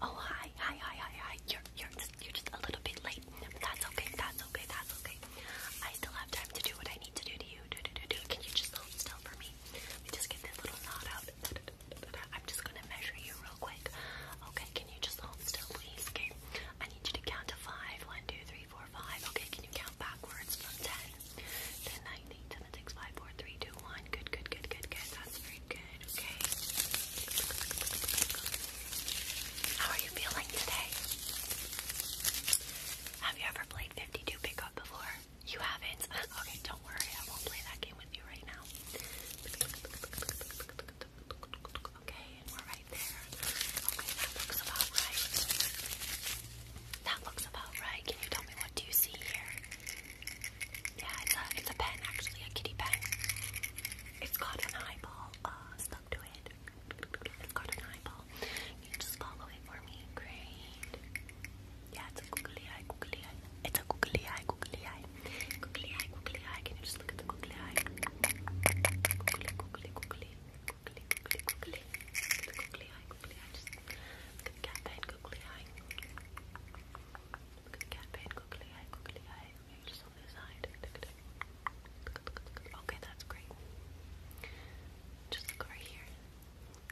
Oh hi, hi, hi, hi, hi. You're you're just you're just a little bit late. That's okay, that's okay, that's okay. I still have time to do what I need to do to you. Do, do, do, do. Can you just hold still for me? Let just get this little knot out. I'm just gonna measure you real quick. Okay, can you just hold still please? Okay. I need you to count to five. One, two, three, four, five. Okay, can you count backwards from ten to eight, seven, six, five, four, three, two, one. Good, good, good, good, good. That's very good. Okay. How are you feeling today? Have you ever played 52 pickup before? You haven't? Okay, don't worry. I won't play that game with you right now. Okay, and we're right there. Okay, that looks about right. That looks about right. Can you tell me what do you see here? Yeah, it's a it's a pen actually, a kitty pen. It's got an eyeball uh, stuck to it. It's got an eyeball. You just follow it for me. Great. Yeah, it's a googly eye, googly eye. It's a googly eye, googly eye. Googly eye, googly eye. Can you just look at the googly eye? Googly, googly, googly. Googly, googly, googly. googly eye, googly eye. Just look cat pen, googly eye. Okay, that's great. Just look over here.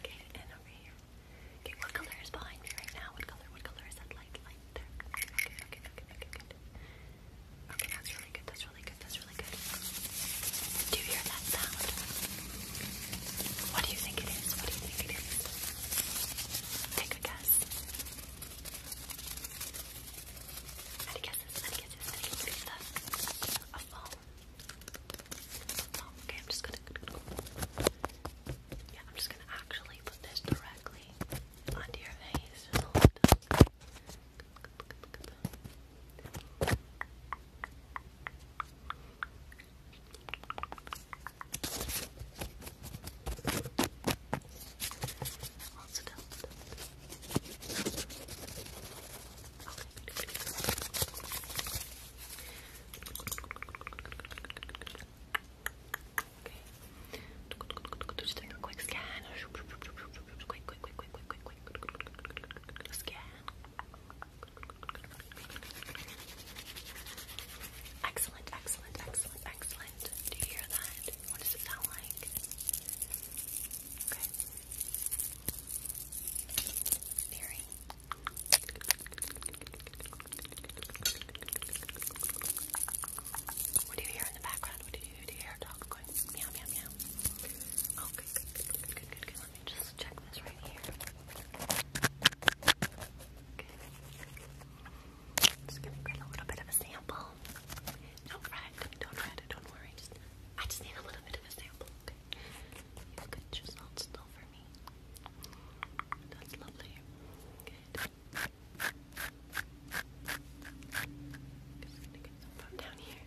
Okay, and over here. Okay, what color is behind me right now? What color? What color is that light? Light there. Okay, okay, okay, okay, good. Okay, that's really good. That's really good. That's really good. Do you hear that sound? What do you think it is? What do you think it is? Take a guess. Any guesses? Any guesses? Any guesses? A phone. Oh, okay, I'm just gonna. Yeah, I'm just gonna actually put this directly onto your face. Just hold it up. Also down. Okay. Just doing quick scan. quick, quick, quick, quick, quick, quick, quick. Scan. Excellent, excellent, excellent, excellent. Do you hear that? What does it sound like? Okay. Very. What do you hear in the background? What do you hear? Do you hear a going meow, meow, meow? Okay, oh, Let me just check this right here. Just gonna get a little bit of a sample. Don't fret, don't fret don't worry. I just need a little bit of a sample, okay? You could just hold still for me. That's lovely. Good. Just gonna get some down here.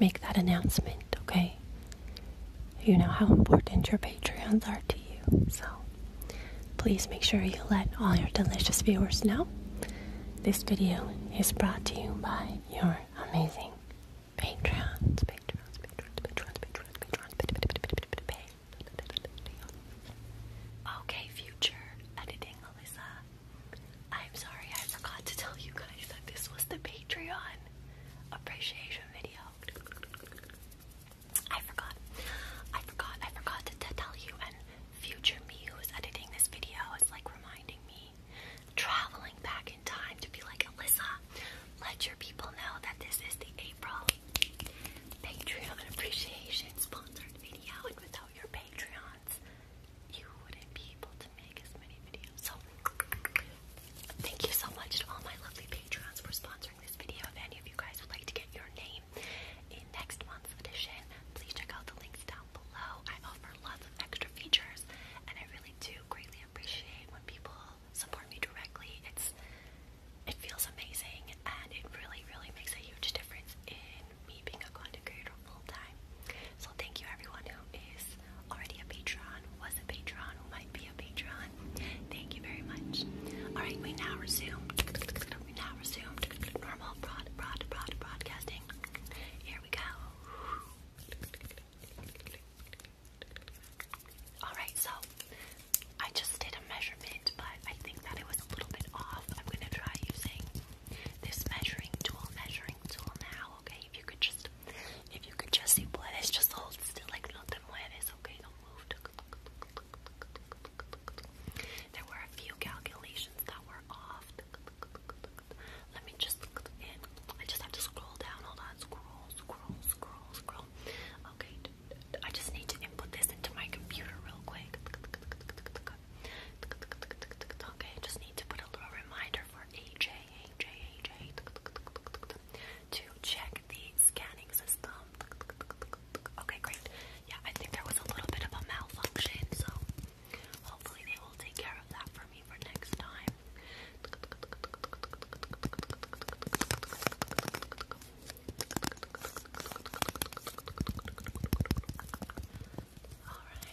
make that announcement, okay? You know how important your Patreons are to you, so please make sure you let all your delicious viewers know. This video is brought to you by your amazing Patreons, Patreons, Patreons, Patreons, Patreons, Patreons, Patreons, Okay, future editing, Alyssa. I'm sorry I forgot to tell you guys that this was the Patreon appreciation video. I forgot. I forgot. I forgot to, tell you. And future me who is editing this video is like reminding me, traveling back in time to be like Alyssa. Let your people know that this is the April Patreon appreciation sponsored video, and without your Patreons, you wouldn't be able to so, thank you so much to all my lovely patrons for sponsoring this video. If any of you guys would like to get your name in next month's edition, please check out the links down below. I offer lots of extra features, and I really do greatly appreciate when people support me directly. It's it feels amazing, and it really, really makes a huge difference in me being a content creator full time thank you everyone who is already a patron, was a patron, who might be a patron. Thank you very much. Alright, we now resume. We now resume normal broad broad broad broadcasting. Here we go. Alright, so I just did a measurement, but I think that it was a little bit off. I'm gonna try using this measuring tool, measuring tool now, okay? If you could just if you could just see what it's just hold still, like nothing te It's okay? Don't move. There were a few calculations that were off. Let me just in. I just have to scroll down. Hold on, scroll, scroll, scroll, scroll. Okay, I just need to input this into my computer real quick. Okay, just need to put a little reminder for AJ to check the scanning system. Okay, great. Yeah, I think there was a little bit of a malfunction, so hopefully they will take care of that for me for next time. All right.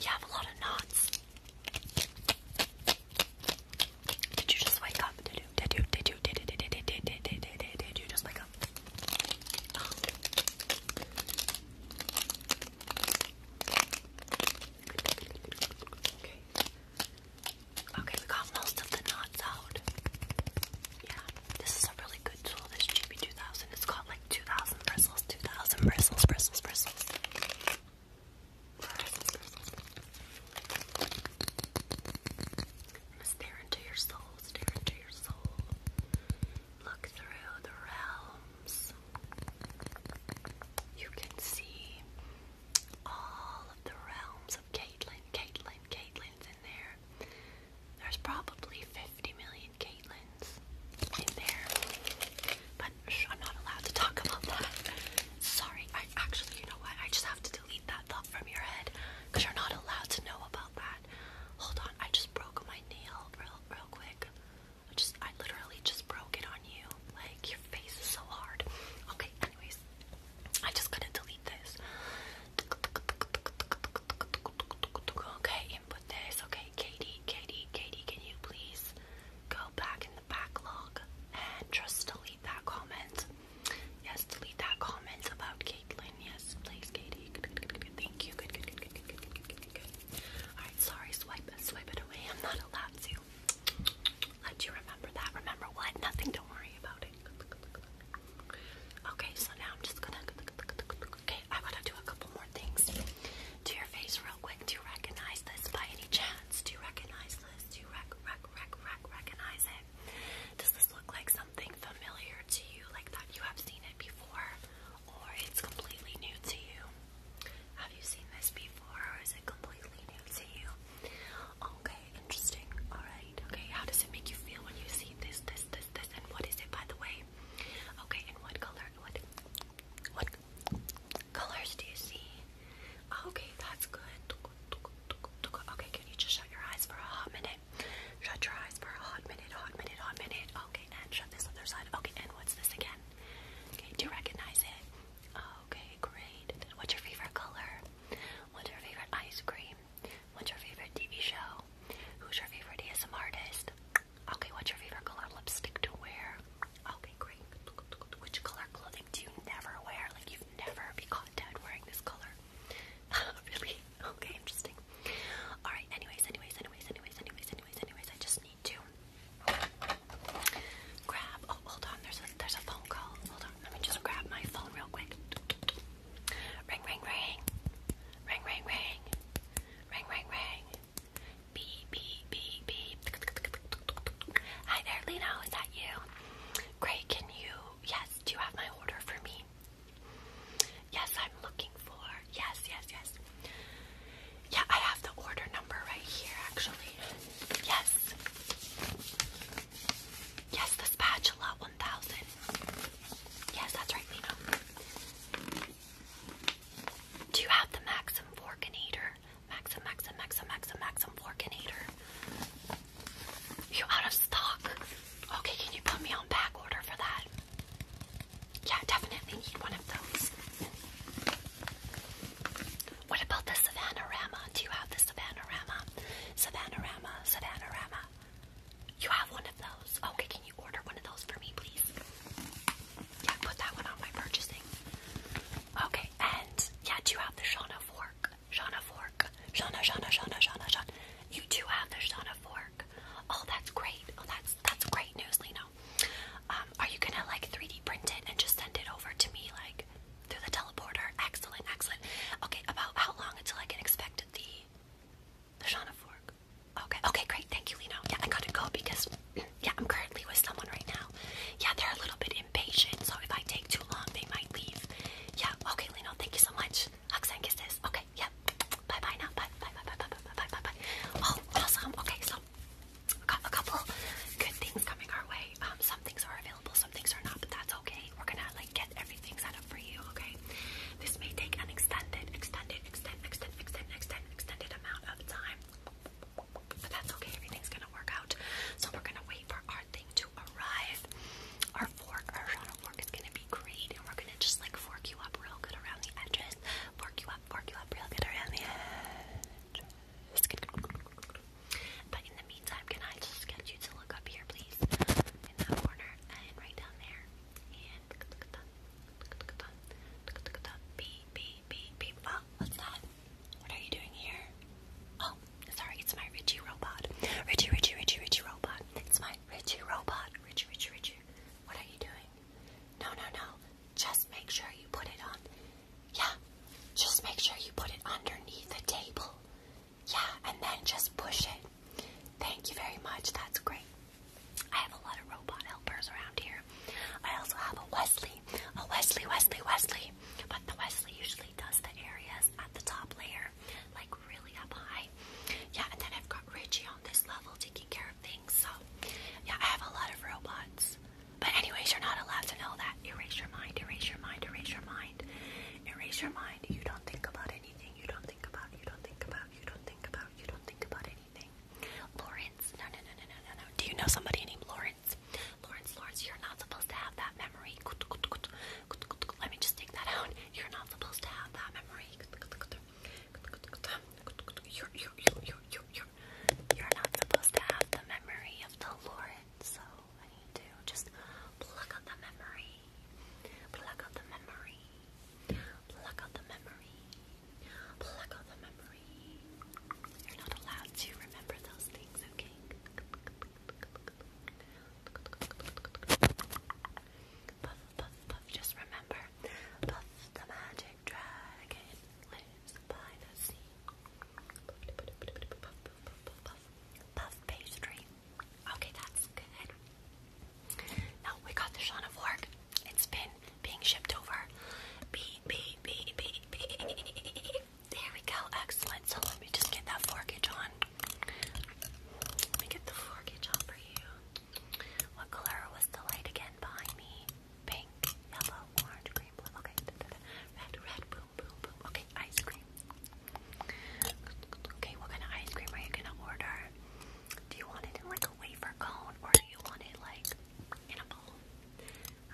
You have a lot of knots. Did you just wake up? Did you? Did you? Did you? Did you? Did you? Did you? Did you? Did you? Did you? just wake up? Okay. Okay, we got most of the knots out. Yeah, this is a really good tool, this GB2000. It's got like 2,000 bristles, 2,000 bristles, bristles, bristles. i stare into your soul, stare into your soul. Look through the realms. You can see all of the realms of Caitlyn. Caitlyn, Caitlyn's in there. There's probably 50 million Caitlin's in there. But I'm not allowed to talk about that. Sorry, I actually, you know what? I just have to delete that thought from your head because you're not allowed to know about that. Hold on, I just broke my nail real, real quick. I just, I literally just broke it on you. Like, your face is so hard. Okay, anyways, I just gotta delete this. Okay, input this. Okay, Katie, Katie, Katie, can you please go back in the backlog and just delete that comment? Yes, delete that comment about Caitlin. Yes, please, Katie. Thank you. Good, good, good, good, good, good, good, good, good. Alright, sorry, swipe it, swipe it away. I'm not allowed to. Let you remember that. Remember what? Nothing, don't worry about it. Okay, so now I'm just gonna Okay, I want to do a couple more things to your face real quick. Do you recognize this by any chance? Do you recognize this? Do you rec rec rec rec recognize it? Does this look like something familiar to you, like that you have seen it before, or it's completely new to you? Have you seen this before, or is it completely new to you? Okay, interesting. All right. Okay, how does it make you feel when you see this, this, this, this, and what is it, by the way? Okay, and what color? What? What colors do you see? Oh, okay, that's good. Okay, can you just shut your eyes for a hot minute? Shut your eyes for a hot minute, hot minute, hot minute. Okay, and shut this other side. Okay, and what's this again? Okay, do you recognize it? Okay, great. What's your favorite color? What's your favorite ice cream? What's your favorite TV show? Who's your favorite ASM artist? Okay, what's your favorite color lipstick to wear? Okay, great. Which color clothing do you never wear? Like you've never be caught dead wearing this color. really? Okay, interesting. Alright, anyways, anyways, anyways, anyways, anyways, anyways, anyways, I just need to grab oh hold on, there's there's a phone call. Hold on, let me just grab my phone real quick. Ring, ring, ring. Ring, ring, ring. Ring, ring, ring. Beep, beep, beep, beep. Hi there, Lino. Is that you? Great. Can you? Yes. Do you have my order for me? Yes, I'm looking for. Yes, yes, yes. Yeah, I have the order number right here, actually. Yes. Yes, the spatula. Well, Yes, that's right, Do you have the Maxim Forkinator? Maxim, Maxim, Maxim, Maxim, Maxim Forkinator. You out of stock? Okay, can you put me on back order for that? Yeah, definitely need one of those. What about the Savannah Rama? Do you have the Savannah Rama? Savannah Rama, Savannah Rama. You have one of those. Okay, can you order one of those for me, please? Yeah, put that one on my purchasing. Okay, and yeah, do you have the Shauna fork? Shauna fork. Shauna, Shauna, Shauna, Shauna, Shauna. You do have the Shauna fork. Oh, that's great. Oh, that's that's great news, Lino. Um, are you gonna like 3D print it and just send it over to me like through the teleporter? Excellent, excellent. Okay, about how long until I can expect the the Shauna Fork. Okay, okay, great. Thank you, Lino. Yeah, I gotta go because, yeah, I'm currently with someone right now. Yeah, they're a little bit impatient, so if I take too long, they might leave. Yeah, okay, Lino, thank you so much. Oxen is this. Okay, yeah. Bye bye now. Bye, bye, bye, bye, bye, bye, bye, bye, bye. Oh, awesome. Okay, so got a couple good things coming our way. Um, some things are available, some things are not, but that's okay. We're gonna like get everything setup for you, okay? This may take an extended, extended, extended, extended, extended, extended, extended amount of time. But that's okay, everything's gonna work out. So we're gonna wait for our thing to arrive. Our fork, our shot of fork is gonna be great, and we're gonna just like fork you up real good around the edges. Fork you up, fork you up real good around the edges. But in the meantime, can I just get you to look up here, please? In that corner and right down there. Beep, beep, beep, beep. Oh, what's that? What are you doing here? Oh, sorry, it's my Richie robot. Richie, Richie, Richie, Richie robot. It's my Richie robot. Richie, Richie, Richie. What are you doing? No, no, no. Just make sure you put it on. Yeah, just make sure you put it underneath the table. Yeah, and then just push it. Thank you very much. That's great. I have a lot of robot helpers around here. I also have a Wesley. A Wesley, Wesley, Wesley. But the Wesley usually does the areas at the top layer, like really up high. Yeah, and then I've got Richie on this level taking care of things. So, yeah, I have a lot of robots. But, anyways, you're not allowed to know that. Erase your mind, erase your mind, erase your mind. Erase your mind. You don't think about anything. You don't think about, you don't think about you don't think about, you don't think about anything. Lawrence, no, no, no, no, no, no, no. Do you know somebody named Lawrence? Lawrence, Lawrence, you're not supposed to have that memory. Let me just take that out. You're not supposed to have that memory. You're, you're, you're, you're, you're, you're, not supposed to have the memory of the Lawrence, so I need to just pluck out the memory. Pluck out the memory. Pluck out the memory. Pluck out the memory. You're not allowed to remember those things, okay? Just remember, the magic dragon lives by the sea. Puff pastry. Okay, that's good. Now we got the Shauna Fork. It's been being shipped over. There we go. Excellent. So let me just get that forkage on. Let me get the forkage on for you. What color was the light again behind me? Pink, yellow, orange, green, blue. Okay. Red, red, boom, boom, boom. Okay, ice cream. Okay, what kind of ice cream are you gonna order? Do you want it in like a wafer cone or do you want it like in a bowl?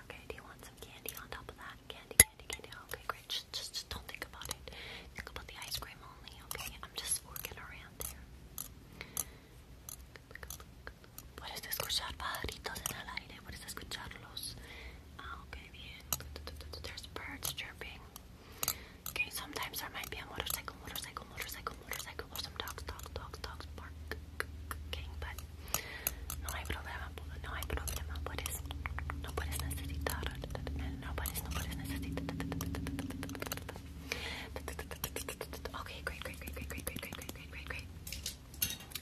Okay, do you want some candy on top of that? Candy, candy, candy. Okay, great. Just, just, just don't think about it. Think about the ice cream only, okay? I'm just working around there. Puedes escuchar pajaritos en el aire, puedes escucharlos. Ah, ok, bien. There's birds chirping. Okay, sometimes there might be a motorcycle, motorcycle, motorcycle, motorcycle, or some dogs, dogs, dogs, dogs, barking, but no hay problema, no hay problema, puedes, no puedes necesitar, no puedes, no puedes necesitar. Okay, great, great, great, great, great, great, great, great, great, great, great.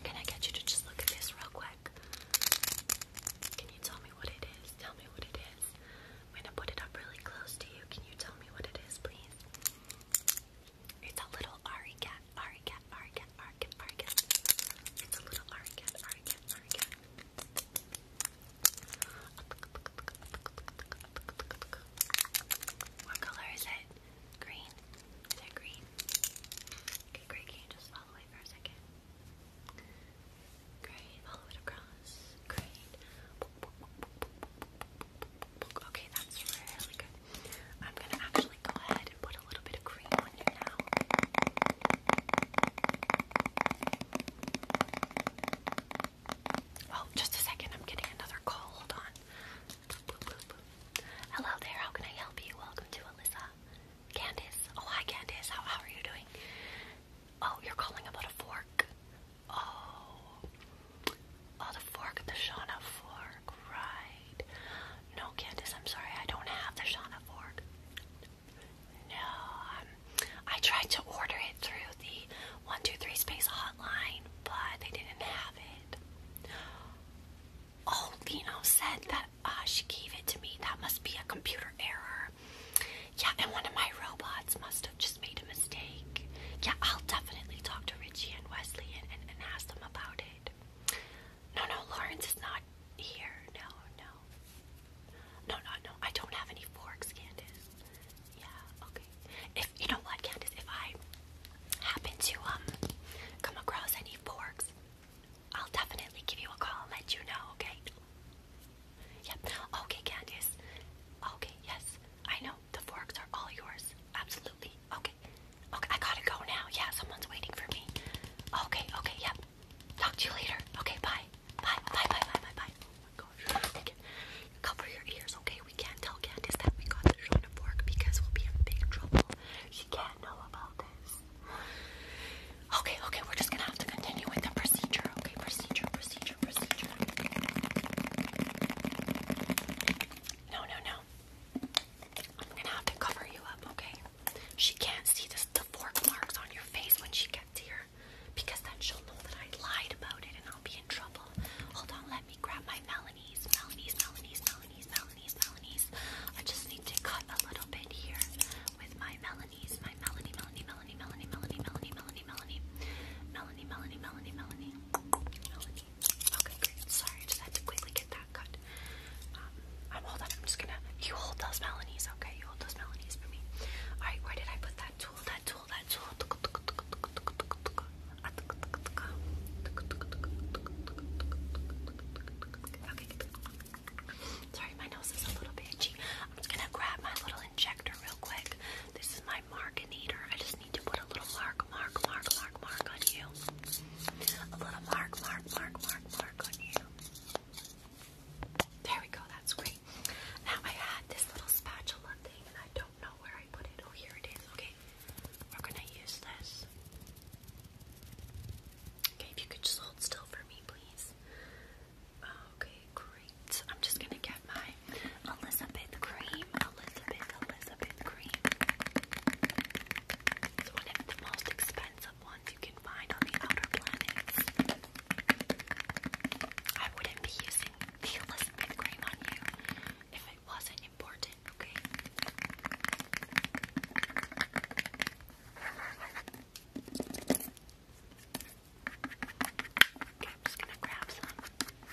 Can I get you to just look at this real quick? Can you tell me what it is? Tell me what it is. I'm gonna put it up really close to you. Can you tell me what it is, please? It's a little Ari cat, Ari cat, Ari cat, Ari cat, Ari cat. It's a little Ari cat, Ari cat, Ari cat. What color is it? Green? Is it green? Okay, great. Can you just follow it for a second? Great. Follow it across was Okay, that's really good. I'm gonna actually go ahead and put a little bit of cream on you now. Oh, just a second. I'm getting another call. Hold on. Hello there. How can I help you? Welcome to Alyssa. Candice. Oh, hi, Candice. how are you doing? Oh, you're calling about a fork. Oh. Oh, the fork, the Shauna fork, right. No, Candace, I'm sorry, I don't have the Shauna fork. No, um, I tried to order it through the 123 Space hotline, but they didn't have it. Oh, Lino said that uh, she gave it to me. That must be a computer error. Yeah, and one of my robots must have just made a mistake. Yeah, I'll definitely talk to Richie and Wesley and, ask them about it. No, no, Lawrence is not here. No, no. No, no, no. I don't have any forks, Candace. Yeah, okay. If you know what, Candace, if I happen to um come across any forks, I'll definitely give you a call and let you know, okay? Yep. Okay, Candice. Okay, yes. I know the forks are all yours. Absolutely. Okay. Okay, I gotta go now. Yeah, someone's waiting for me. Okay, okay, yep. Talk to you later. Okay, bye. Bye, bye, bye, bye, bye, bye. Oh my gosh. Okay. Cover your ears, okay? We can't tell Candice that we got the Shona fork because we'll be in big trouble. She can't know about this. Okay, okay, we're just gonna have to continue with the procedure, okay? Procedure, procedure, procedure. No, no, no. I'm gonna have to cover you up, okay? She can't see the fork marks on your face when she gets here because then she'll know that I lied about it and I'll be in trouble. Hold on, let me grab my Melanie's, Melanie's, Melanie's, Melanie's, Melanie's, Melanie's. I just need to cut a little bit here with my Melanie's, my Melanie, Melanie, Melanie, Melanie, Melanie, Melanie, Melanie, Melanie, Melanie, Melanie, Melanie, Melanie. Okay, great. Sorry, I just had to quickly get that cut. Um, I'm hold on. I'm just gonna. You hold those Melanies, okay? You hold those Melanies for me. All right. Where did I put that tool? That tool. That tool. Sorry, my nose is a little bit itchy. I'm just gonna grab my little injector real quick. This is my marginator. I just need to put a little mark, mark, mark, mark, mark on you. A little mark, mark, mark, mark, mark on you. There we go, that's great. Now I had this little spatula thing and I don't know where I put it. Oh, here it is. Okay, we're gonna use this. Okay, if you could just hold still for me, please. Okay, great. I'm just gonna get my Elizabeth cream. Elizabeth, Elizabeth cream. It's one of the most expensive ones you can find on the outer planets. I wouldn't be using Elizabeth cream on you if it wasn't important, okay? Okay, I'm just gonna grab some.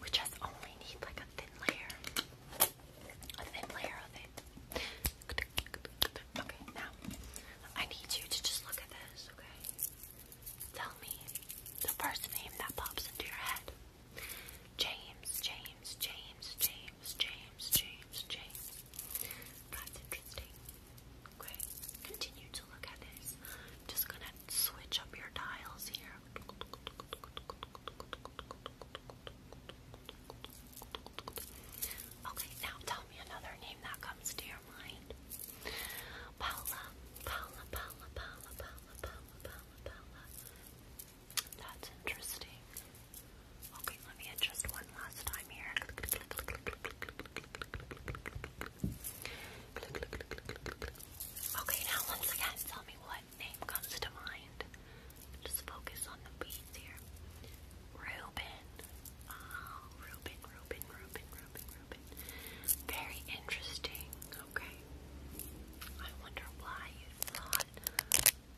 We just only need like a thin layer. A thin layer of it. Okay, now I need you to just look at this, okay? Tell me the first name that pops into your head. James, James, James, James, James, James, James. That's interesting. Okay, continue to look at this. I'm just gonna switch up your dials here. Okay, now tell me another name that comes to your mind. Paula, Paula, Paula, Paula, Paula, Paula, Paula, Paula. That's interesting. Okay, let me adjust one last time here. Okay, now once again, tell me what what name comes to mind. Just focus on the beads here. Reuben. Oh, Reuben, Reuben, Reuben, Reuben, Reuben. Very interesting. Okay. I wonder why you thought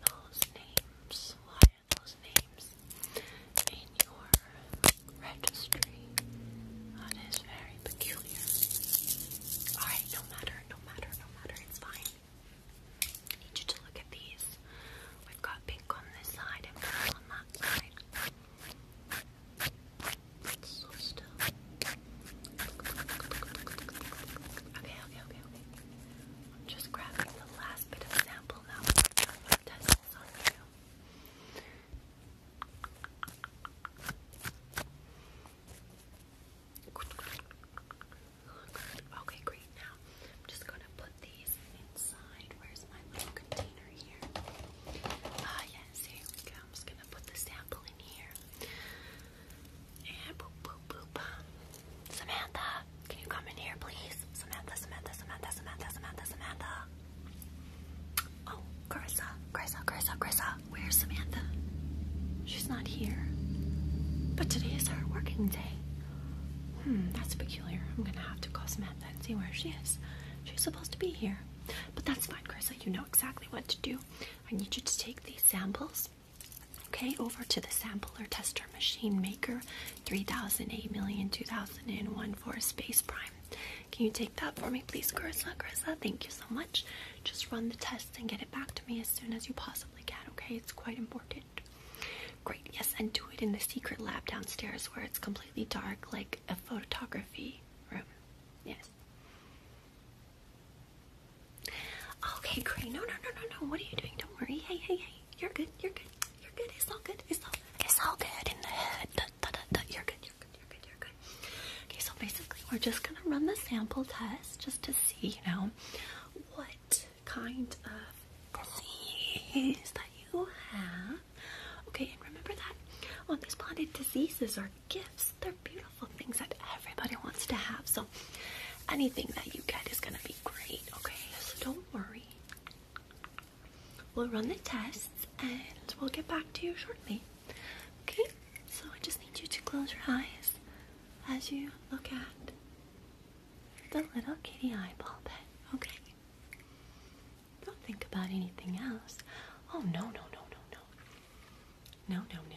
those names. Why those names in your registry? That is very peculiar. Alright, no matter, no matter, no matter, it's fine. I need you to look at these. We've got pink on this side and purple on that side. It's so still. Okay, okay, okay, okay. I'm just grabbing the last bit of sample now. test this on you. Okay, great. Now I'm just gonna put these inside. Where's my little container here? Ah, yes, here we go. I'm just gonna put the sample in here. And boop, boop, boop. Samantha, can you come in here, please? Samantha, Samantha, Samantha, Samantha, Samantha, Samantha. Oh, Carissa, Carissa, Carissa, Carissa. Where's Samantha? She's not here. But today is our working day. Hmm, that's peculiar. I'm gonna have to call Samantha and see where she is. She's supposed to be here. But that's fine, Carissa. You know exactly what to do. I need you to take these samples, okay, over to the sampler tester machine maker 3008 million 2001 for space prime. Can you take that for me, please, Carissa? Carissa, thank you so much. Just run the test and get it back to me as soon as you possibly can, okay? It's quite important. Great, yes, and do it in the secret lab downstairs where it's completely dark, like a photography room. Yes. Okay, great. No, no, no, no, no. What are you doing? Don't worry. Hey, hey, hey. You're good. You're good. You're good. It's all good. It's all. It's all good in the head. You're good. You're good. You're good. You're good. Okay, so basically we're just gonna run the sample test just to see, you know, what kind of disease that you have. Okay, and remember that all these planet diseases are gifts. They're beautiful things that everybody wants to have. So anything that you get is gonna be great, okay? So don't worry. We'll run the tests and we'll get back to you shortly. Okay, so I just need you to close your eyes as you look at the little kitty eyeball pet. Okay. Don't think about anything else. Oh no no no no no. No no no no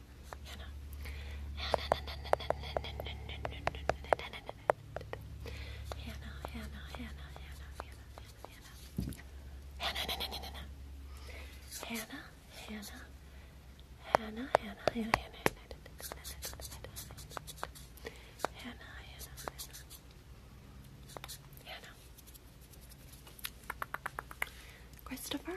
Hannah. Hannah, Hannah, Hannah, Hannah, Hannah, Hannah, Hannah, Hannah, Hannah, Hannah, Hannah, Hannah, Hannah, Hannah, Hannah, Hannah, Hannah, Hannah, Christopher,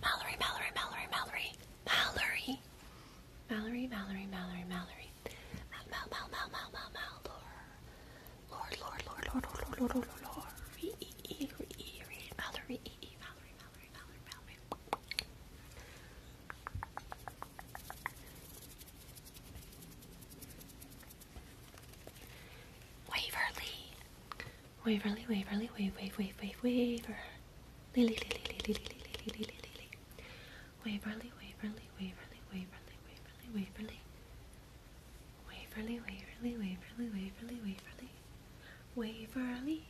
Mallory, Mallory, Mallory, Mallory, Mallory, Mallory, Mallory, Mallory, Mallory, Mal, Mal, Mal, Mal, Mal, Mal, Mal, Lord, Lord, Lord, Lord, Lord, Lord, Lord, Lord, Lord, Mallory, Mallory, Mallory, Mallory, Mallory, Mallory. Waverly, Waverly, Waverly, wave, wave, wave, wave, waver. Lily, Lily, Lily, Lily, Lily, Lily, Lily. Waverly, Waverly, Waverly, Waverly, Waverly, Waverly. Waverly, Waverly, Waverly, Waverly, Waverly. Waverly, Waverly,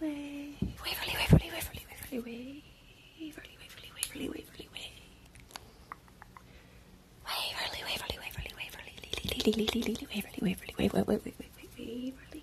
Waverly, Waverly, Waverly, Waverly, Waverly, Waverly, Waverly, Waverly, Waverly. Waverly, Waverly, Waverly, Waverly, Lily, Lily, Lily, Waverly, Waverly, Waverly, Waverly, Waverly.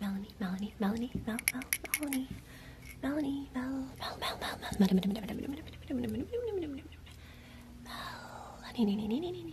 Melanie, Melanie, Melanie, Mel, Mel, Melanie, Melanie, Mel, Mel, Mel, Mel, Mel, Mel, Mel, Mel, Mel, Mel, Melanie,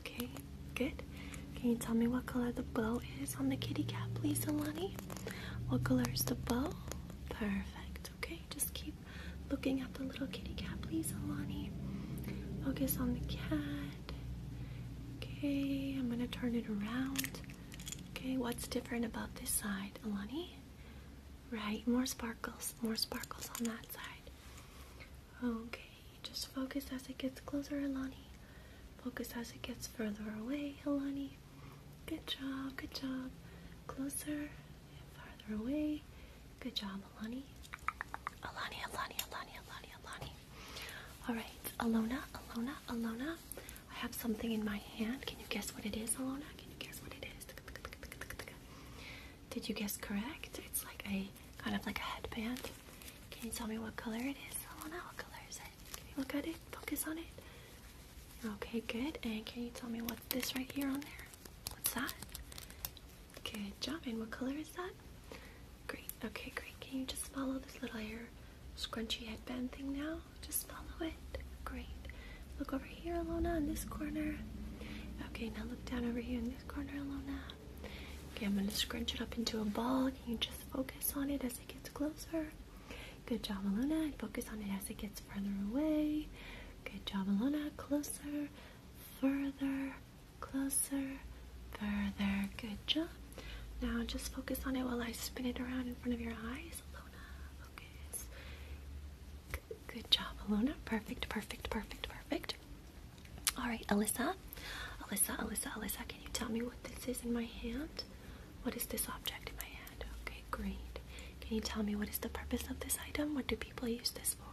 Okay, good. Can you tell me what color the bow is on the kitty cat, please, Alani? What color is the bow? Perfect. Okay, just keep looking at the little kitty cat, please, Alani. Focus on the cat. Okay, I'm gonna turn it around. Okay, what's different about this side, Alani? Right, more sparkles, more sparkles on that side. Okay, just focus as it gets closer, Alani. Focus as it gets further away, Alani. Good job, good job. Closer and farther away. Good job, Alani. Alani, Alani, Alani, Alani, Alani. Alright, Alona, Alona, Alona. I have something in my hand. Can you guess what it is, Alona? Can you guess what it is? Did you guess correct? It's like a kind of like a headband. Can you tell me what color it is? I want to know what color is it. Can you look at it? Focus on it. Okay, good. And can you tell me what this right here on there? What's that? Good job. And what color is that? Great. Okay, great. Can you just follow this little hair scrunchy headband thing now? Just follow it. Great. Look over here, Alona, in this corner. Okay, now look down over here in this corner, Alona. Okay, I'm gonna scrunch it up into a ball. Can you just focus on it as it gets closer? Good job, Alona. focus on it as it gets further away. Good job, Alona. Closer, further, closer, further. Good job. Now just focus on it while I spin it around in front of your eyes. Alona, focus. Good, good job, Alona. Perfect, perfect, perfect, perfect. All right, Alyssa, Alyssa, Alyssa, Alyssa, can you tell me what this is in my hand? What is this object in my hand? Okay, great. Can you tell me what is the purpose of this item? What do people use this for?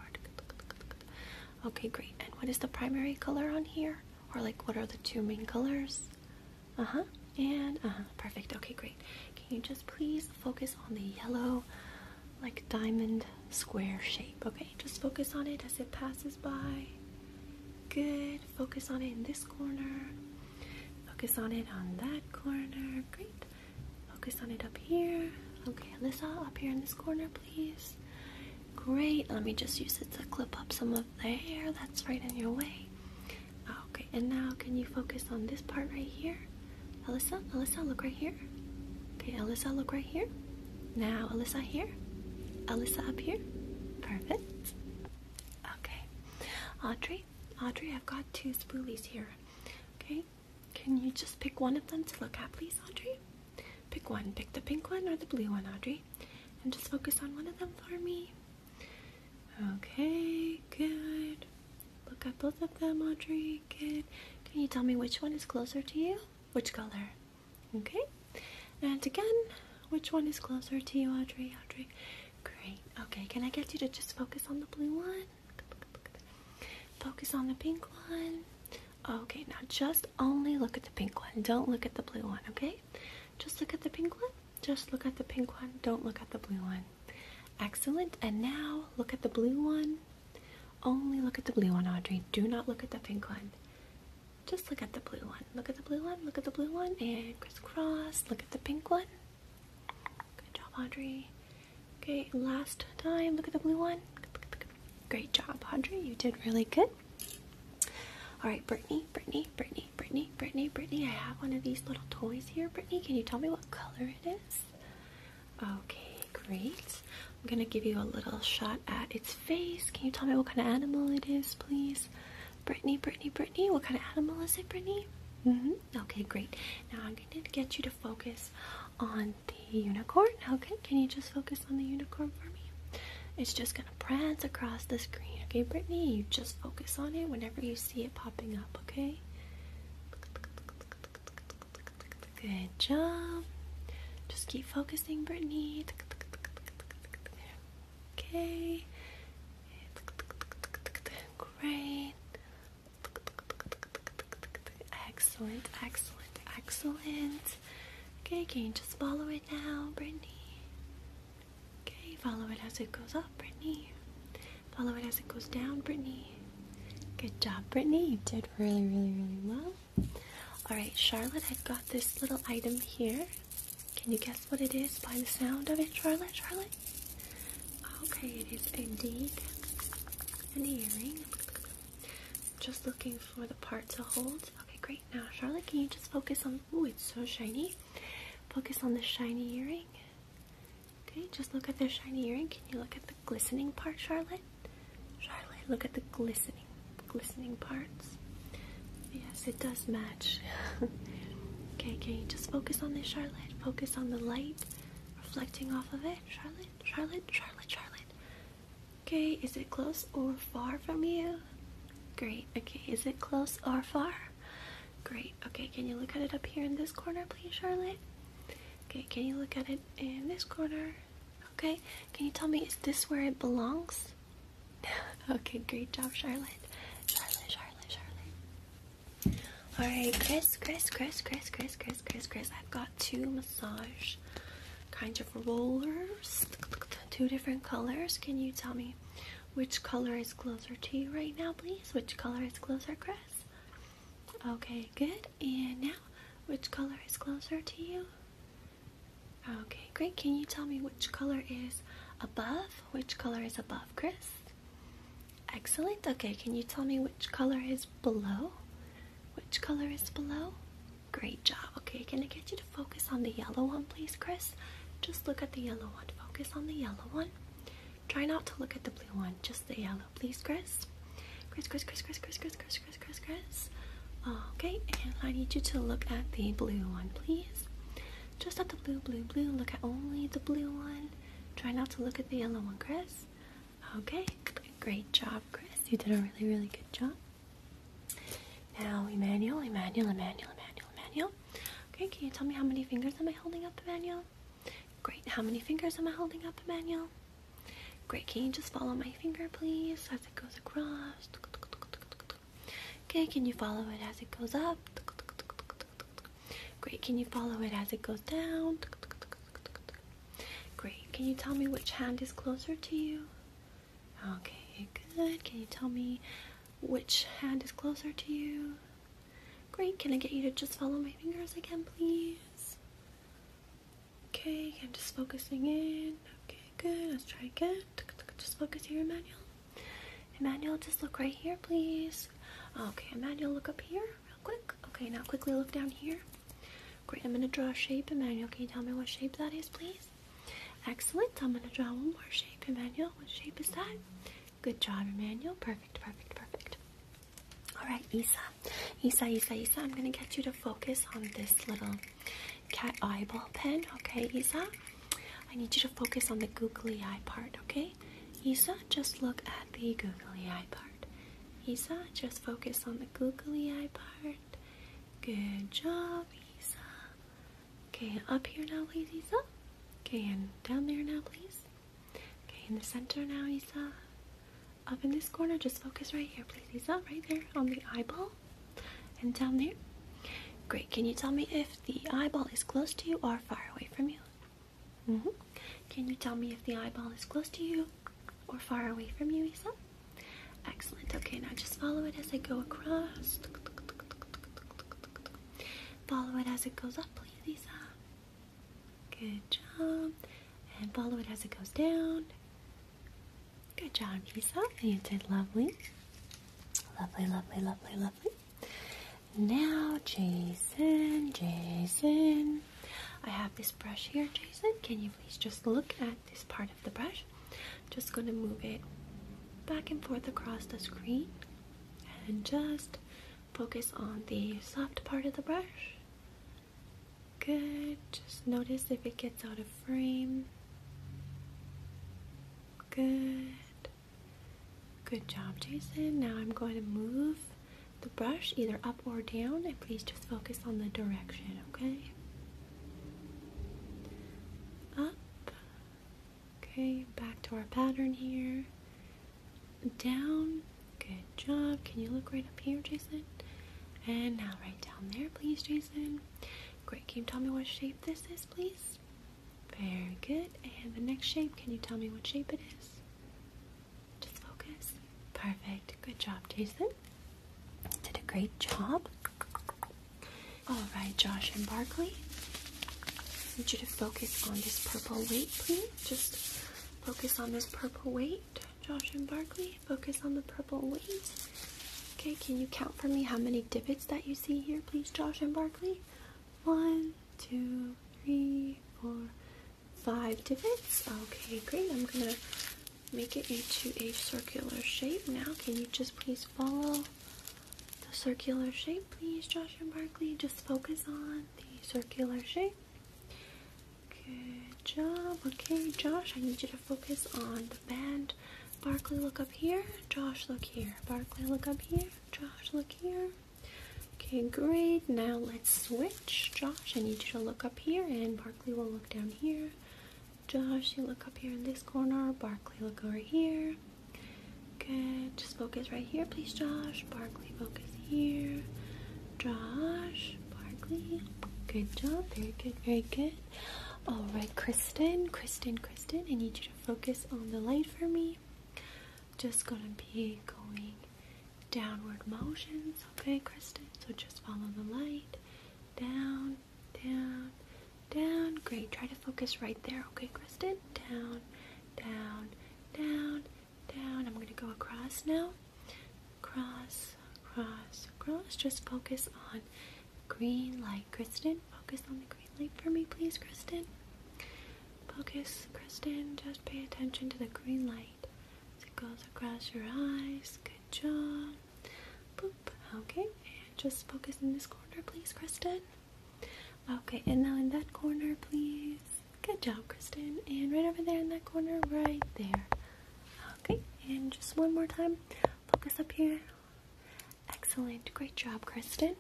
Okay, great. And what is the primary color on here? Or like, what are the two main colors? Uh-huh, and uh-huh, perfect. Okay, great. Can you just please focus on the yellow like diamond square shape. Okay, just focus on it as it passes by. Good. Focus on it in this corner. Focus on it on that corner. Great. Focus on it up here. Okay, Alyssa, up here in this corner, please. Great. Let me just use it to clip up some of the hair that's right in your way. Okay, and now can you focus on this part right here? Alyssa, Alyssa, look right here. Okay, Alyssa, look right here. Now, Alyssa here? Alyssa up here? Perfect. Okay. Audrey? Audrey, I've got two spoolies here. Okay? Can you just pick one of them to look at, please, Audrey? Pick one. Pick the pink one or the blue one, Audrey. And just focus on one of them for me. Okay, good. Look at both of them, Audrey. Good. Can you tell me which one is closer to you? Which color? Okay, and again, which one is closer to you, Audrey? Audrey, great. Okay, can I get you to just focus on the blue one? Focus on the pink one. Okay, now just only look at the pink one. Don't look at the blue one, okay? Just look at the pink one. Just look at the pink one. Don't look at the blue one. Excellent. And now look at the blue one. Only look at the blue one, Audrey. Do not look at the pink one. Just look at the blue one. Look at the blue one. Look at the blue one. And crisscross. Look at the pink one. Good job, Audrey. Okay, last time. Look at the blue one. Great job, Audrey. You did really good. All right, Brittany, Brittany, Brittany, Brittany, Brittany, Brittany. I have one of these little toys here. Brittany, can you tell me what color it is? Okay, great. I'm gonna give you a little shot at its face. Can you tell me what kind of animal it is, please? Brittany, Brittany, Brittany, what kind of animal is it, Brittany? -hmm. Okay, great. Now I'm going to get you to focus on the unicorn. Okay, can you just focus on the unicorn for me? It's just going to prance across the screen. Okay, Brittany, you just focus on it whenever you see it popping up, okay? Good job. Just keep focusing, Brittany. Okay. Great. Excellent, excellent, excellent. Okay, can just follow it now, Brittany? Okay, follow it as it goes up, Brittany. Follow it as it goes down, Brittany. Good job, Brittany. You did really, really, really well. All right, Charlotte, I've got this little item here. Can you guess what it is by the sound of it, Charlotte? Charlotte? Okay, it is indeed an earring. Just looking for the part to hold. Okay, great. Now, Charlotte, can you just focus on... Oh, it's so shiny. Focus on the shiny earring. Okay, just look at the shiny earring. Can you look at the glistening part, Charlotte? Charlotte, look at the glistening, glistening parts. Yes, it does match. okay, can you just focus on this, Charlotte? Focus on the light reflecting off of it, Charlotte, Charlotte, Charlotte, Charlotte. Okay, is it close or far from you? Great. Okay, is it close or far? Great. Okay, can you look at it up here in this corner, please, Charlotte? Okay, can you look at it in this corner? Okay, can you tell me, is this where it belongs? okay, great job, Charlotte. Charlotte, Charlotte, Charlotte. Alright, Chris, Chris, Chris, Chris, Chris, Chris, Chris, Chris. I've got two massage kind of rollers, two different colors. Can you tell me which color is closer to you right now, please? Which color is closer, Chris? Okay, good. And now, which color is closer to you? Okay, great. Can you tell me which color is above? Which color is above, Chris? Excellent. Okay, can you tell me which color is below? Which color is below? Great job. Okay, can I get you to focus on the yellow one, please, Chris? Just look at the yellow one. Focus on the yellow one. Try not to look at the blue one, just the yellow, please, Chris. Chris, Chris, Chris, Chris, Chris, Chris, Chris, Chris, Chris, press. Okay, and I need you to look at the blue one, please. Just at the blue, blue, blue. Look at only the blue one. Try not to look at the yellow one, Chris. Okay, great job, Chris. You did a really, really good job. Now, Emmanuel, Emmanuel, Emmanuel, Emmanuel, Emmanuel. Okay, can you tell me how many fingers am I holding up, Emmanuel? Great, how many fingers am I holding up, Emmanuel? Great, can you just follow my finger, please, as it goes across? Okay, can you follow it as it goes up? Great, can you follow it as it goes down? Great, can you tell me which hand is closer to you? Okay, good. Can you tell me which hand is closer to you? Great, can I get you to just follow my fingers again, please? Okay, I'm just focusing in. Okay, good. Let's try again. Just focus here, Emmanuel. Emmanuel, just look right here, please. Okay, Emmanuel, look up here real quick. Okay, now quickly look down here. Great, I'm going to draw a shape. Emmanuel, can you tell me what shape that is, please? Excellent. I'm going to draw one more shape, Emmanuel. What shape is that? Good job, Emmanuel. Perfect, perfect, perfect. All right, Isa. Isa, Isa, Isa, I'm going to get you to focus on this little cat eyeball pen. Okay, Isa? I need you to focus on the googly eye part, okay? Isa, just look at the googly eye part. Isa, just focus on the googly eye part. Good job, Isa. Okay, up here now, please, Isa. Okay, and down there now, please. Okay, in the center now, Isa. Up in this corner, just focus right here, please. Isa. right there on the eyeball and down there. Great. Can you tell me if the eyeball is close to you or far away from you? -hmm. Can you tell me if the eyeball is close to you or far away from you, Isa? Excellent. Okay, now just follow it as I go across. Follow it as it goes up, please, Isa. Good job. And follow it as it goes down. Good job, Isa. Oh, you did lovely. Lovely, lovely, lovely, lovely. Now, Jason, Jason. I have this brush here, Jason. Can you please just look at this part of the brush? Just going to move it back and forth across the screen and just focus on the soft part of the brush Good. Just notice if it gets out of frame. Good. Good job, Jason. Now I'm going to move the brush either up or down and please just focus on the direction, okay? Up. Okay, back to our pattern here. Down. Good job. Can you look right up here, Jason? And now right down there, please, Jason. Great. Can you tell me what shape this is, please? Very good. And the next shape, can you tell me what shape it is? Just focus. Perfect. Good job, Jason. Did a great job. All right, Josh and Barkley. I need you to focus on this purple weight, please. Just focus on this purple weight, Josh and Barkley focus on the purple wings. Okay, can you count for me how many divots that you see here, please, Josh and Barkley? One, two, three, four, five divots. Okay, great. I'm gonna make it into a circular shape now. Can you just please follow the circular shape, please, Josh and Barkley? Just focus on the circular shape. Good job. Okay, Josh, I need you to focus on the band. Barkley, look up here. Josh, look here. Barkley, look up here. Josh, look here. Okay, great. Now let's switch. Josh, I need you to look up here, and Barkley will look down here. Josh, you look up here in this corner. Barkley, look over here. Good. Just focus right here, please, Josh. Barkley, focus here. Josh, Barkley. Good job. Very good. Very good. All right, Kristen, Kristen, Kristen, I need you to focus on the light for me. Just gonna be going downward motions, okay, Kristen? So just follow the light. Down, down, down. Great. Try to focus right there, okay, Kristen? Down, down, down, down. I'm gonna go across now. Cross, cross, cross. Just focus on Green light. Kristen, focus on the green light for me, please, Kristen. Focus, Kristen. Just pay attention to the green light as it goes across your eyes. Good job. Boop. Okay, and just focus in this corner, please, Kristen. Okay, and now in that corner, please. Good job, Kristen. And right over there in that corner, right there. Okay, and just one more time. Focus up here. Excellent. Great job, Kristen.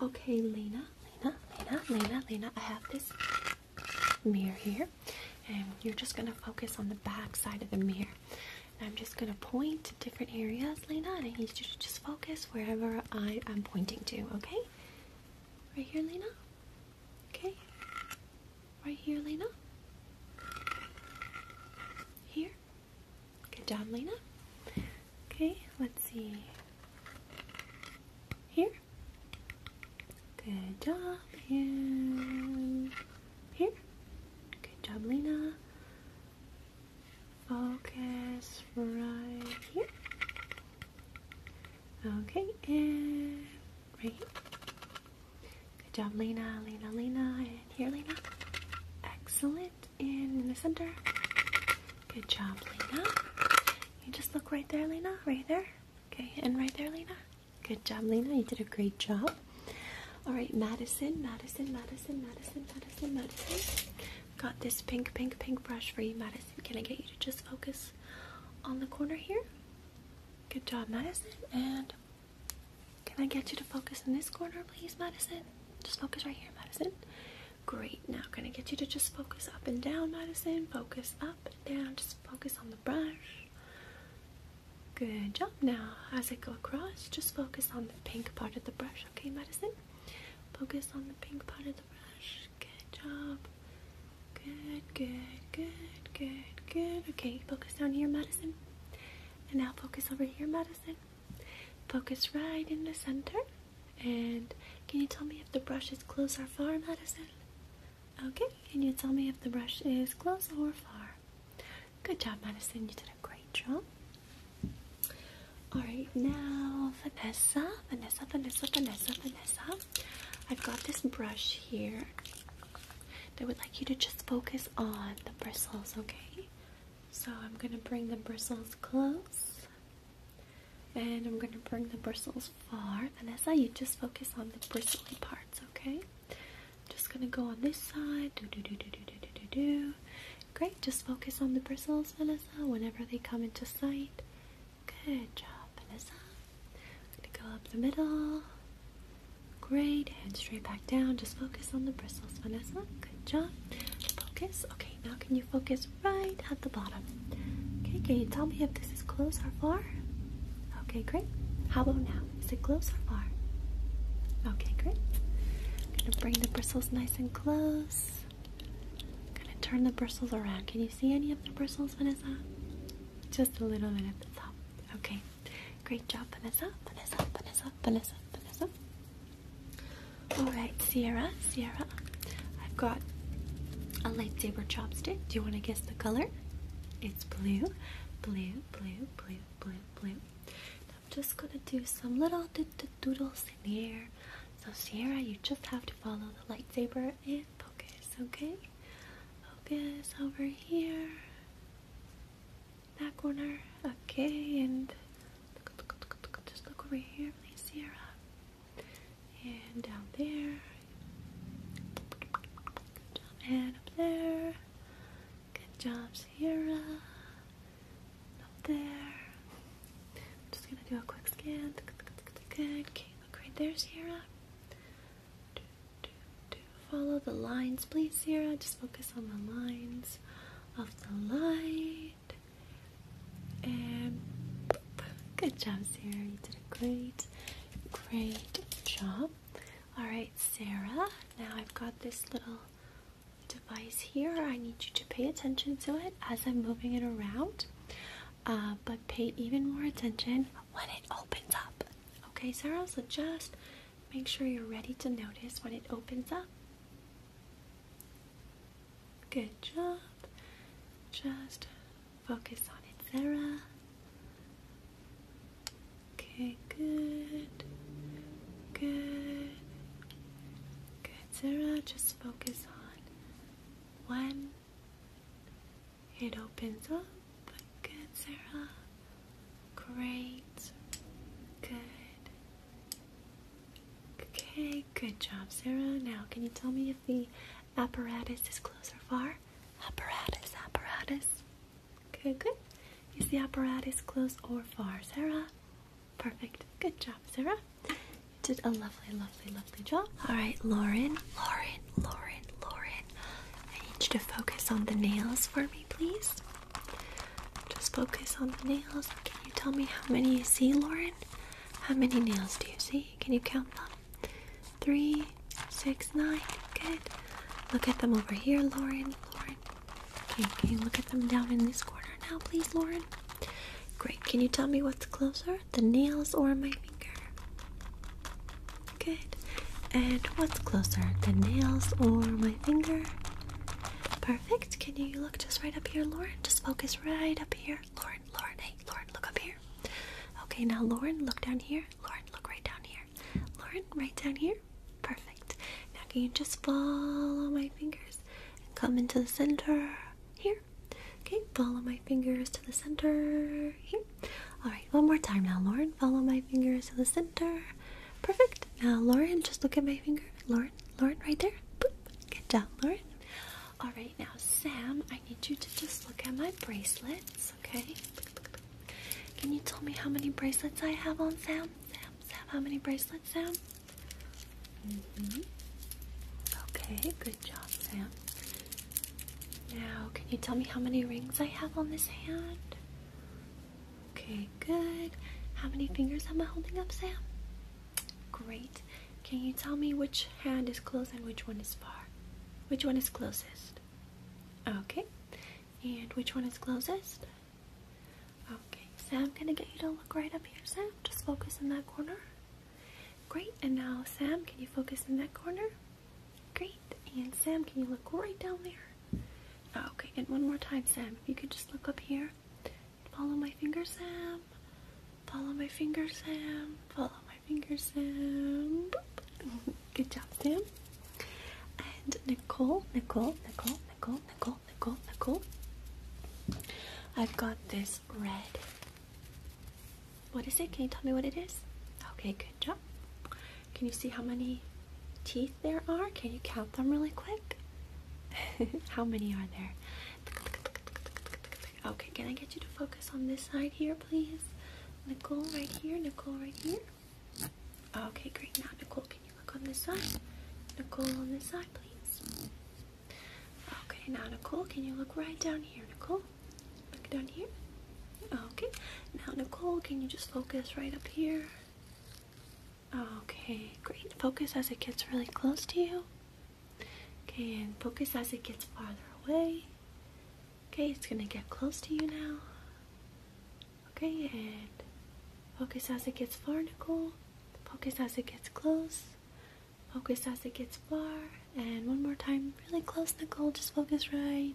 Okay, Lena, Lena, Lena, Lena, Lena. I have this mirror here, and you're just going to focus on the back side of the mirror. I'm just going to point to different areas, Lena, and I need you to just focus wherever I am pointing to, okay? Right here, Lena? Okay. Right here, Lena. Here. Good job, Lena. Okay, let's see. Here. Good job. here. Good job, Lena. Focus right here. Okay, and right? Good job, Lena, Lena, Lena, and here, Lena. Excellent. And in the center. Good job, Lena. You just look right there, Lena. Right there. Okay, and right there, Lena. Good job, Lena. You did a great job. All right, Madison, Madison, Madison, Madison, Madison, Madison. Got this pink, pink, pink brush for you, Madison. Can I get you to just focus on the corner here? Good job, Madison. And can I get you to focus in this corner, please, Madison? Just focus right here, Madison. Great. Now, can I get you to just focus up and down, Madison? Focus up and down. Just focus on the brush. Good job. Now, as I go across, just focus on the pink part of the brush, okay, Madison? Focus on the pink part of the brush. Good job. Good, good, good, good, good. Okay, focus down here, medicine. And now focus over here, medicine. Focus right in the center. And can you tell me if the brush is close or far, medicine? Okay, can you tell me if the brush is close or far? Good job, medicine. You did a great job. All right, now Vanessa, Vanessa, Vanessa, Vanessa, Vanessa. I've got this brush here that would like you to just focus on the bristles, okay? So I'm going to bring the bristles close and I'm going to bring the bristles far. Vanessa, you just focus on the bristly parts, okay? I'm just going to go on this side. Do, do, do, do, do, do, do, do. Great, just focus on the bristles, Vanessa, whenever they come into sight. Good job, Vanessa. I'm gonna go up the middle. Great, hand straight back down. Just focus on the bristles, Vanessa. Good job. Focus. Okay, now can you focus right at the bottom? Okay, can you tell me if this is close or far? Okay, great. How about now? Is it close or far? Okay, great. I'm gonna bring the bristles nice and close. I'm gonna turn the bristles around. Can you see any of the bristles, Vanessa? Just a little bit at the top. Okay. Great job, Vanessa. Vanessa, Vanessa, Vanessa, Vanessa. Alright, Sierra, Sierra. I've got a lightsaber chopstick. Do you want to guess the color? It's blue, blue, blue, blue, blue, blue. I'm just gonna do some little doodles in the air. So Sierra, you just have to follow the lightsaber and focus, okay? Focus over here. That corner. Okay, and look, look, look, look, just look over here, please, Sierra. And down there. Good job, and up there. Good job, Sierra. Up there. I'm just gonna do a quick scan. Good. Okay, look right there, Sierra do, Follow the lines, please, Sarah. Just focus on the lines of the light. And good job, Sarah. You did a great, great job. Alright, Sarah. Now I've got this little device here. I need you to pay attention to it as I'm moving it around. Uh, but pay even more attention when it opens up. Okay, Sarah, so just make sure you're ready to notice when it opens up. Good job. Just focus on it, Sarah. Okay, good. Good. Good, Sarah. Just focus on one it opens up. Good, Sarah. Great. Good. Okay, good job, Sarah. Now, can you tell me if the apparatus is close or far? Apparatus, apparatus. Good. good. Is the apparatus close or far, Sarah? Perfect. Good job, Sarah. You did a lovely, lovely, lovely job. All right, Lauren, Lauren, Lauren, Lauren. I need you to focus on the nails for me, please. Just focus on the nails. Can you tell me how many you see, Lauren? How many nails do you see? Can you count them? Three, six, nine. Good. Look at them over here, Lauren. Lauren. Okay, can you look at them down in this corner now, please, Lauren? Great. Can you tell me what's closer, the nails or my Good. And what's closer, the nails or my finger? Perfect. Can you look just right up here, Lauren? Just focus right up here. Lauren, Lauren, hey, Lauren, look up here. Okay, now Lauren, look down here. Lauren, look right down here. Lauren, right down here. Perfect. Now can you just follow my fingers and come into the center here? Okay, follow my fingers the center. All right, one more time now, Lauren. Follow my fingers to the center. Perfect. Now, Lauren, just look at my finger. Lauren, Lauren, right there. Boop. Good job, Lauren. All right, now, Sam, I need you to just look at my bracelets, okay? Can you tell me how many bracelets I have on Sam? Sam, Sam, how many bracelets, Sam? Mm-hmm. Okay, good job, Sam. Now, can you tell me how many rings I have on this hand? Okay, good. How many fingers am I holding up, Sam? Great. Can you tell me which hand is close and which one is far? Which one is closest? Okay. And which one is closest? Okay, Sam, I'm gonna get you to look right up here, Sam? Just focus in that corner. Great, and now Sam, can you focus in that corner? Great. And Sam, can you look right down there? Oh, okay, and one more time, Sam. If you could just look up here. Follow my fingers, Sam. Follow my fingers, Sam. Follow my fingers, Sam. Good job, Sam. And Nicole, Nicole, Nicole, Nicole, Nicole, Nicole, Nicole. I've got this red what is it? Can you tell me what it is? Okay, good job. Can you see how many teeth there are? Can you count them really quick? how many are there? Okay, can I get you to focus on this side here, please? Nicole right here, Nicole right here. Okay, great. Now, Nicole, can you look on this side? Nicole on this side, please. Okay, now, Nicole, can you look right down here, Nicole? Look down here. Okay. Now, Nicole, can you just focus right up here? Okay, great. Focus as it gets really close to you. Okay, and focus as it gets farther away. Okay, it's gonna get close to you now. Okay, and focus as it gets far, Nicole. Focus as it gets close. Focus as it gets far. And one more time, really close, Nicole. Just focus right.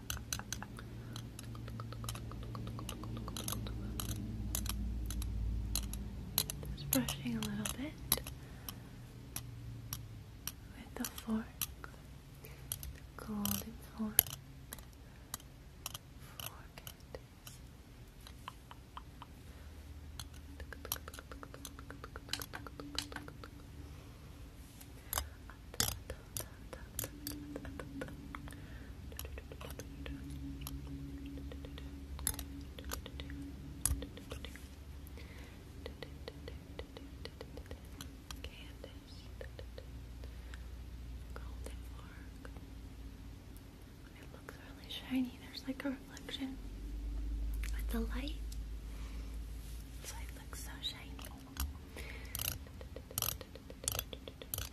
just brushing a little bit with the fork, golden fork. Fork Candace, golden fork. It looks really shiny. There's like a reflection with the light. So it looks so shiny.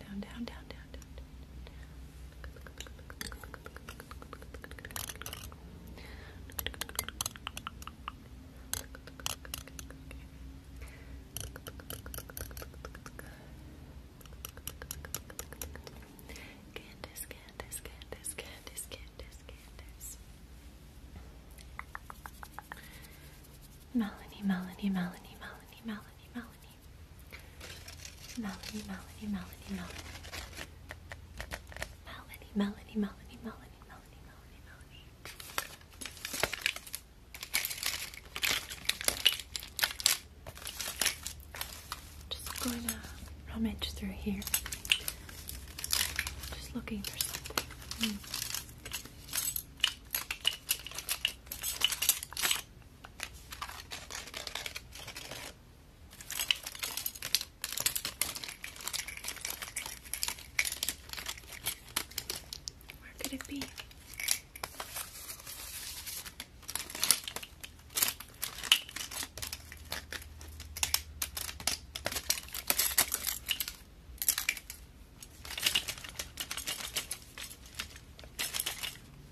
down, down, down, down, down, Candace, Candace, Candace, Candace, Candace, Candace. Melanie, Melanie, Melanie, Melanie, Melanie, Melanie. Melanie, Melanie, Melanie, Melanie. Melanie, Melanie, Melanie, Melanie, Melanie, Melanie, Melanie. Just going to rummage through here. Just looking for something. Mm. Where could it be?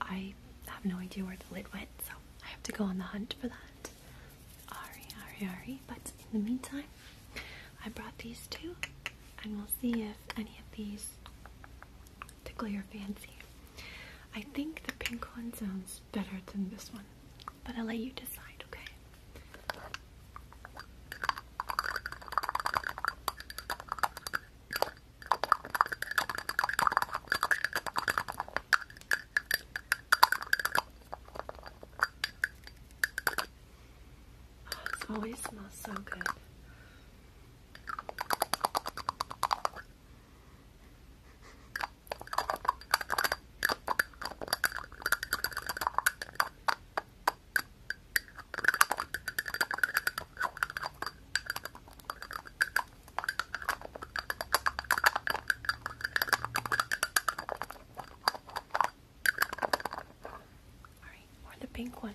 I have no idea where the lid went, so I have to go on the hunt for that. Ari, ari, ari. But in the meantime, I brought these two, and we'll see if any of these tickle your fancy. I think the pink one sounds better than this one, but I'll let you decide, okay? Oh, it always smells so good. Alright, or the pink one.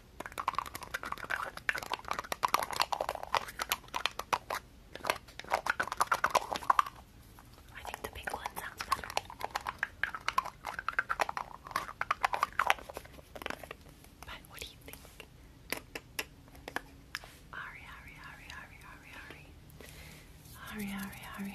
I think the pink one sounds better. But what do you think? Ari, Ari, Ari, Ari, Ari, Ari. Ari, Ari, Ari, Ari, Ari, Ari, Ari,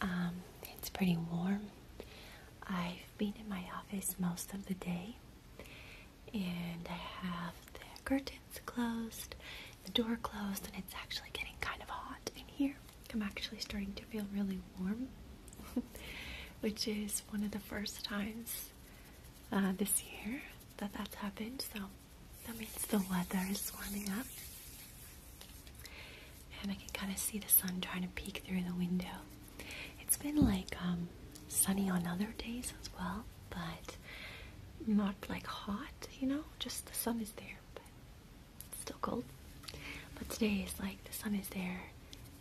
Um, it's pretty warm. I've been in my office most of the day and I have the curtains closed, the door closed, and it's actually getting kind of hot in here. I'm actually starting to feel really warm, which is one of the first times uh, this year that that's happened. So that means the weather is warming up. And I can kind of see the sun trying to peek through the window. It's been like um, sunny on other days as well, but not like hot, you know, just the sun is there, but it's still cold. But today is like the sun is there,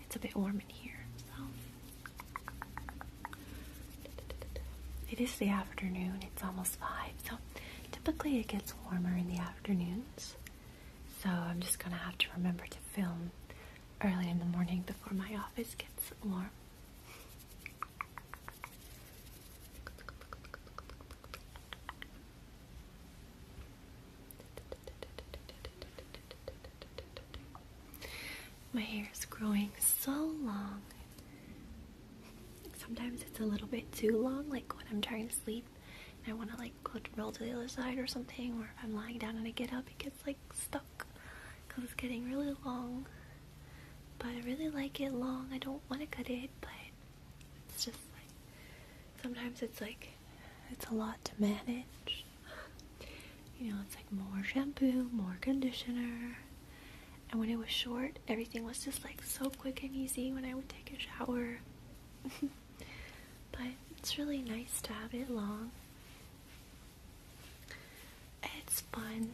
it's a bit warm in here, so. It is the afternoon, it's almost 5, so typically it gets warmer in the afternoon afternoons, so I'm just gonna have to remember to film early in the morning before my office gets warm. My hair is growing so long. Sometimes it's a little bit too long, like when I'm trying to sleep. I want to like go to roll to the other side or something, or if I'm lying down and I get up, it gets like stuck because it's getting really long. But I really like it long. I don't want to cut it, but it's just like sometimes it's like it's a lot to manage. You know, it's like more shampoo, more conditioner. And when it was short, everything was just like so quick and easy when I would take a shower but it's really nice to have it long. It's fun.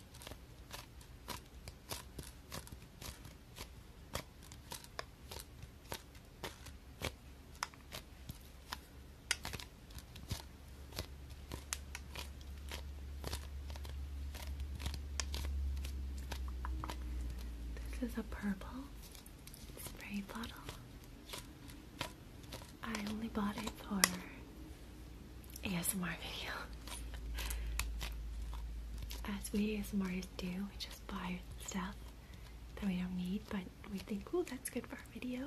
This is a purple spray bottle. I only bought it for ASMR video. As we ASMRs do, we just buy stuff that we don't need, but we think, oh, that's good for our video.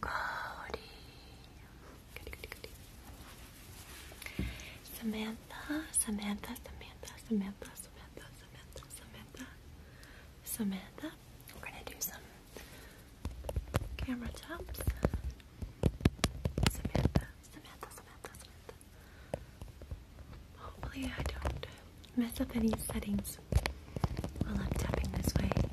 Cody. Goody, goody, Samantha, Samantha, Samantha, Samantha, Samantha, Samantha, Samantha, We're gonna do some camera chops. Hopefully I don't mess up any settings this while I'm tapping this way. Okay.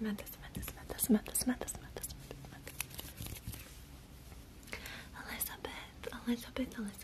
Samantha, Samantha, Samantha, Samantha, Samantha, Samantha, Samantha, Samantha, Samantha, Samantha, Samantha, Samantha, Samantha, Elizabeth, Elizabeth, Elizabeth.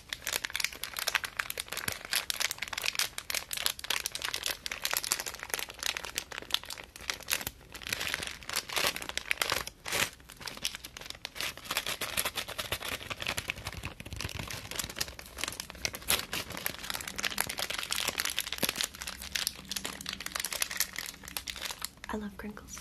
I love crinkles.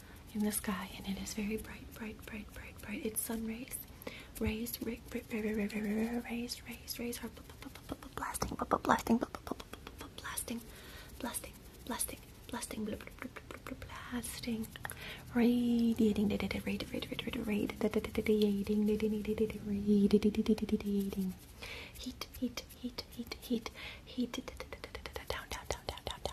in the sky, and it is very bright, bright, bright, bright, bright. It's sun rays, rays, rays, rays, rays, rays are blasting, blasting, blasting, blasting, blasting, blasting, blasting, radiating, radiating, radiating, radiating, radiating, heat, heat, heat, heat, heat, heat, down, down, down, down, down,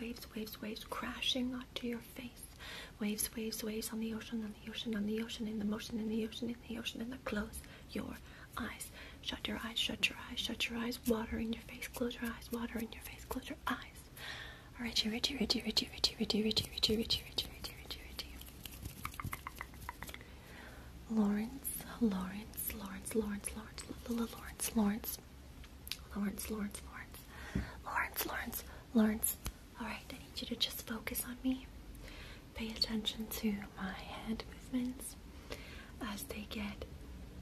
waves, waves, waves, waves crashing onto your face. Waves, waves, waves on the ocean, on the ocean, on the ocean, in the motion, in the ocean, in the ocean, and the close your eyes. Shut your eyes, shut your eyes, shut your eyes, water in your face, close your eyes, water in your face, close your eyes. Alright, you're itchy, itchy, itchy, itchy, itchy, itchy, itchy, itchy, itchy, itchy, itchy, itchy. Lawrence, Lawrence, Lawrence, Lawrence, Lawrence, Lawrence, Lawrence, Lawrence, Lawrence, Lawrence, Lawrence, Lawrence, Lawrence. All right, I need you to just focus on me. Pay attention to my head movements as they get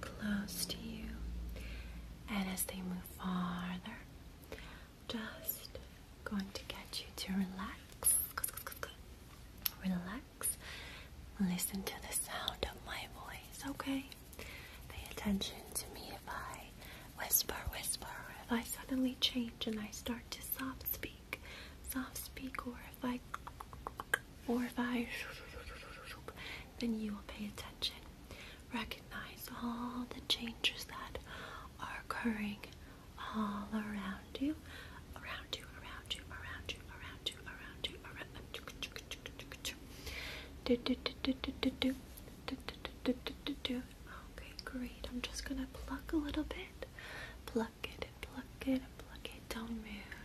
close to you and as they move farther. Just going to get you to relax. Relax. Listen to the sound of my voice, okay? Pay attention to me if I whisper, whisper, if I suddenly change and I start to soft speak, soft speak, or if I, or if I, then you will pay attention. Recognize all the changes that are occurring all around you, around you, around you, around you, around you, around you, around you. Okay, great. I'm just gonna pluck a little bit. Pluck it and pluck it and pluck it. Don't move.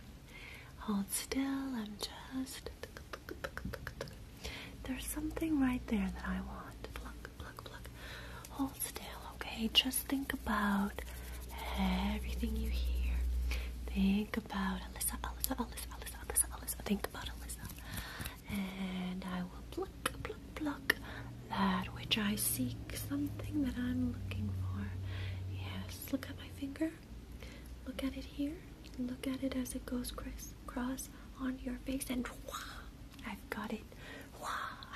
Hold still. I'm just. There's something right there that I want. Pluck, pluck, pluck. Hold still, okay? Just think about everything you hear. Think about Alyssa, Alyssa, Alyssa, Alyssa, Alyssa. Think about Alyssa and I will pluck, pluck, pluck that which I seek, something that I'm looking for. Yes, look at my finger. Look at it here. Look at it as it goes crisscross on your face, and I've got it. Wow,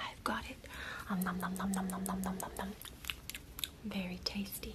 I've got it. Um, nom, nom, nom, nom, nom, nom, nom, nom, nom. Very tasty.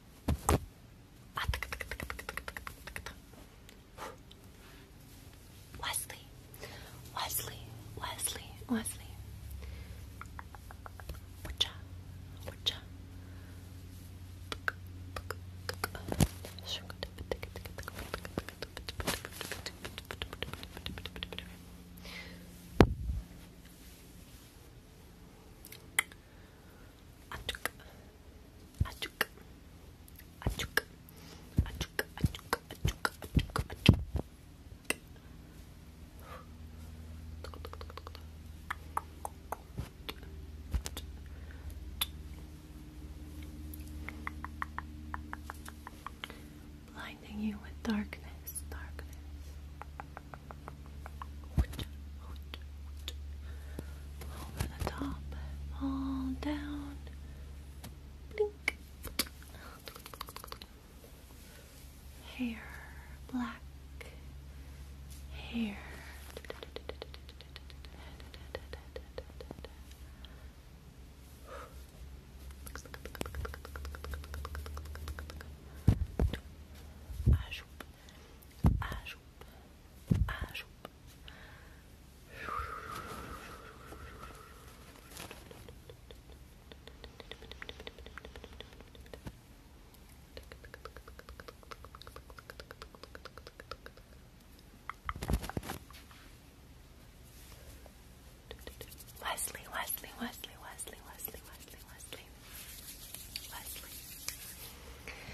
Wesley, Wesley, Wesley, Wesley. Whatcha, whatcha? Achuk. Achuk. Achuk. Achuk. Achuk. Achuk. Achuk. Achuk. Blinding you with darkness, darkness. Over the top, all down. Blink. Hair black. Hair. Wesley, Wesley, Wesley, Wesley, Wesley, Wesley, Wesley, Wesley.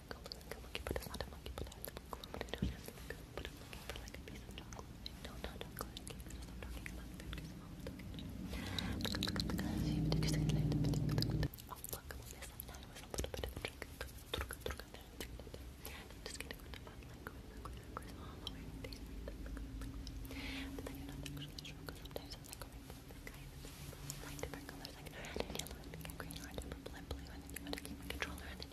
chocolate covered like a monkey, but it's not a monkey, but it has a monkey, but it has like a, but I'm looking for like a piece of chocolate. No, not chocolate, because I'm talking about food, because I'm always talking about Oh, look, this and that was a little bit of a trick. I'm just gonna go to fun, like, going like, like, like, all the way, things like that, like, like, but then you're not actually sure, because sometimes I'm like, going from the guy that's like different colors, like red and yellow, and pink and green, or different blue, and then you gotta keep a controller, and then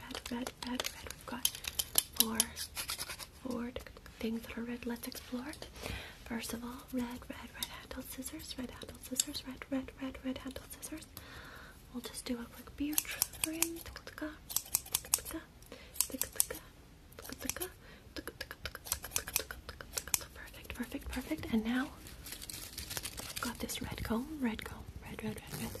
red, red, red, red. We've got four, four things that are red. Let's explore. it. First of all, red, red, red handle scissors, red handle scissors, red, red, red, red handled scissors. We'll just do a quick beard trim. Perfect, perfect, perfect. And now I've got this red comb, red comb, red, red, red, red.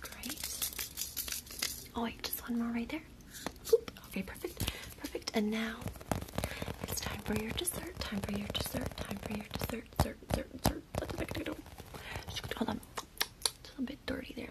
Great. Oh wait, just one more right there. Oop. Okay, perfect, perfect. And now it's time for your dessert. Time for your dessert. Time for your dessert. Dessert. Dessert. Dessert. Hold on. It's a little bit dirty there.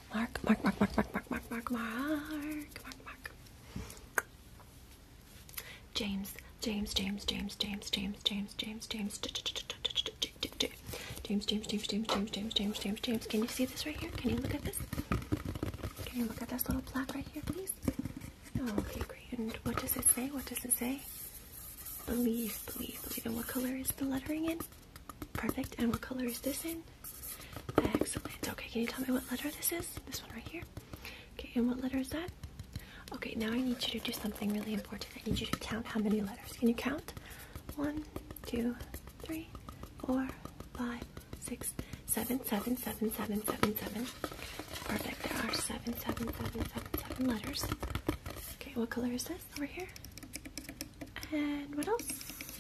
Mark, Mark, Mark, Mark, Mark, Mark, Mark, Mark, Mark, Mark, Mark. James, James, James, James, James, James, James, James, James, James, James, James, James, James, James, James, James, James. Can you see this right here? Can you look at this? Can you look at this little plaque right here, please? Okay, great. And what does it say? What does it say? Believe, believe, believe. And what color is the lettering in? Perfect. And what color is this in? Excellent. Okay, can you tell me what letter this is? This one right here. Okay, and what letter is that? Okay, now I need you to do something really important. I need you to count how many letters. Can you count? One, two, three, four, five, six, seven, seven, seven, seven, seven, seven. Perfect. There are seven, seven, seven, seven, seven letters. Okay, what color is this? over here. And what else?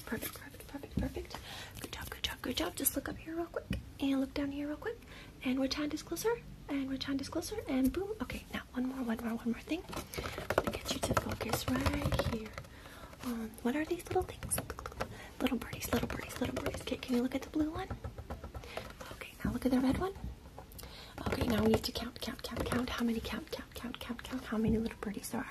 Perfect, perfect, perfect, perfect. Good job, good job, good job. Just look up here real quick and look down here real quick. And which hand is closer? And which hand is closer? And boom. Okay, now one more, one more, one more thing. I'm gonna get you to focus right here. Um, what are these little things? Little birdies, little birdies, little birdies. Okay, can you look at the blue one? Okay, now look at the red one. Okay, now we need to count, count, count, count. How many count, count, count, count, count, how many little birdies there are.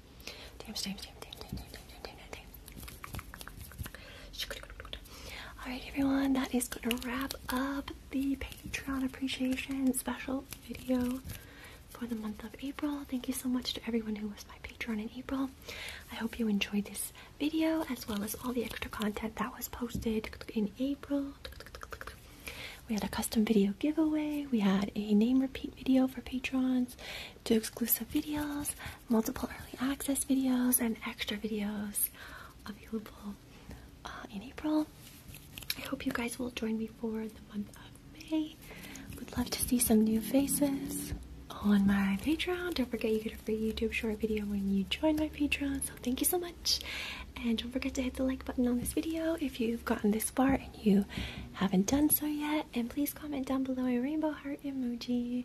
James, James, James, James, James, James, James, James, James, James. Alright everyone, that is gonna wrap up the Patreon appreciation special video for the month of April. Thank you so much to everyone who was my Patreon in April. I hope you enjoyed this video as well as all the extra content that was posted in April. We had a custom video giveaway. We had a name repeat video for patrons do exclusive videos, multiple early access videos, and extra videos available uh, in April. I hope you guys will join me for the month of May. Would love to see some new faces on my Patreon. Don't forget you get a free YouTube short video when you join my Patreon. So thank you so much. And don't forget to hit the like button on this video if you've gotten this far and you haven't done so yet. And please comment down below a rainbow heart emoji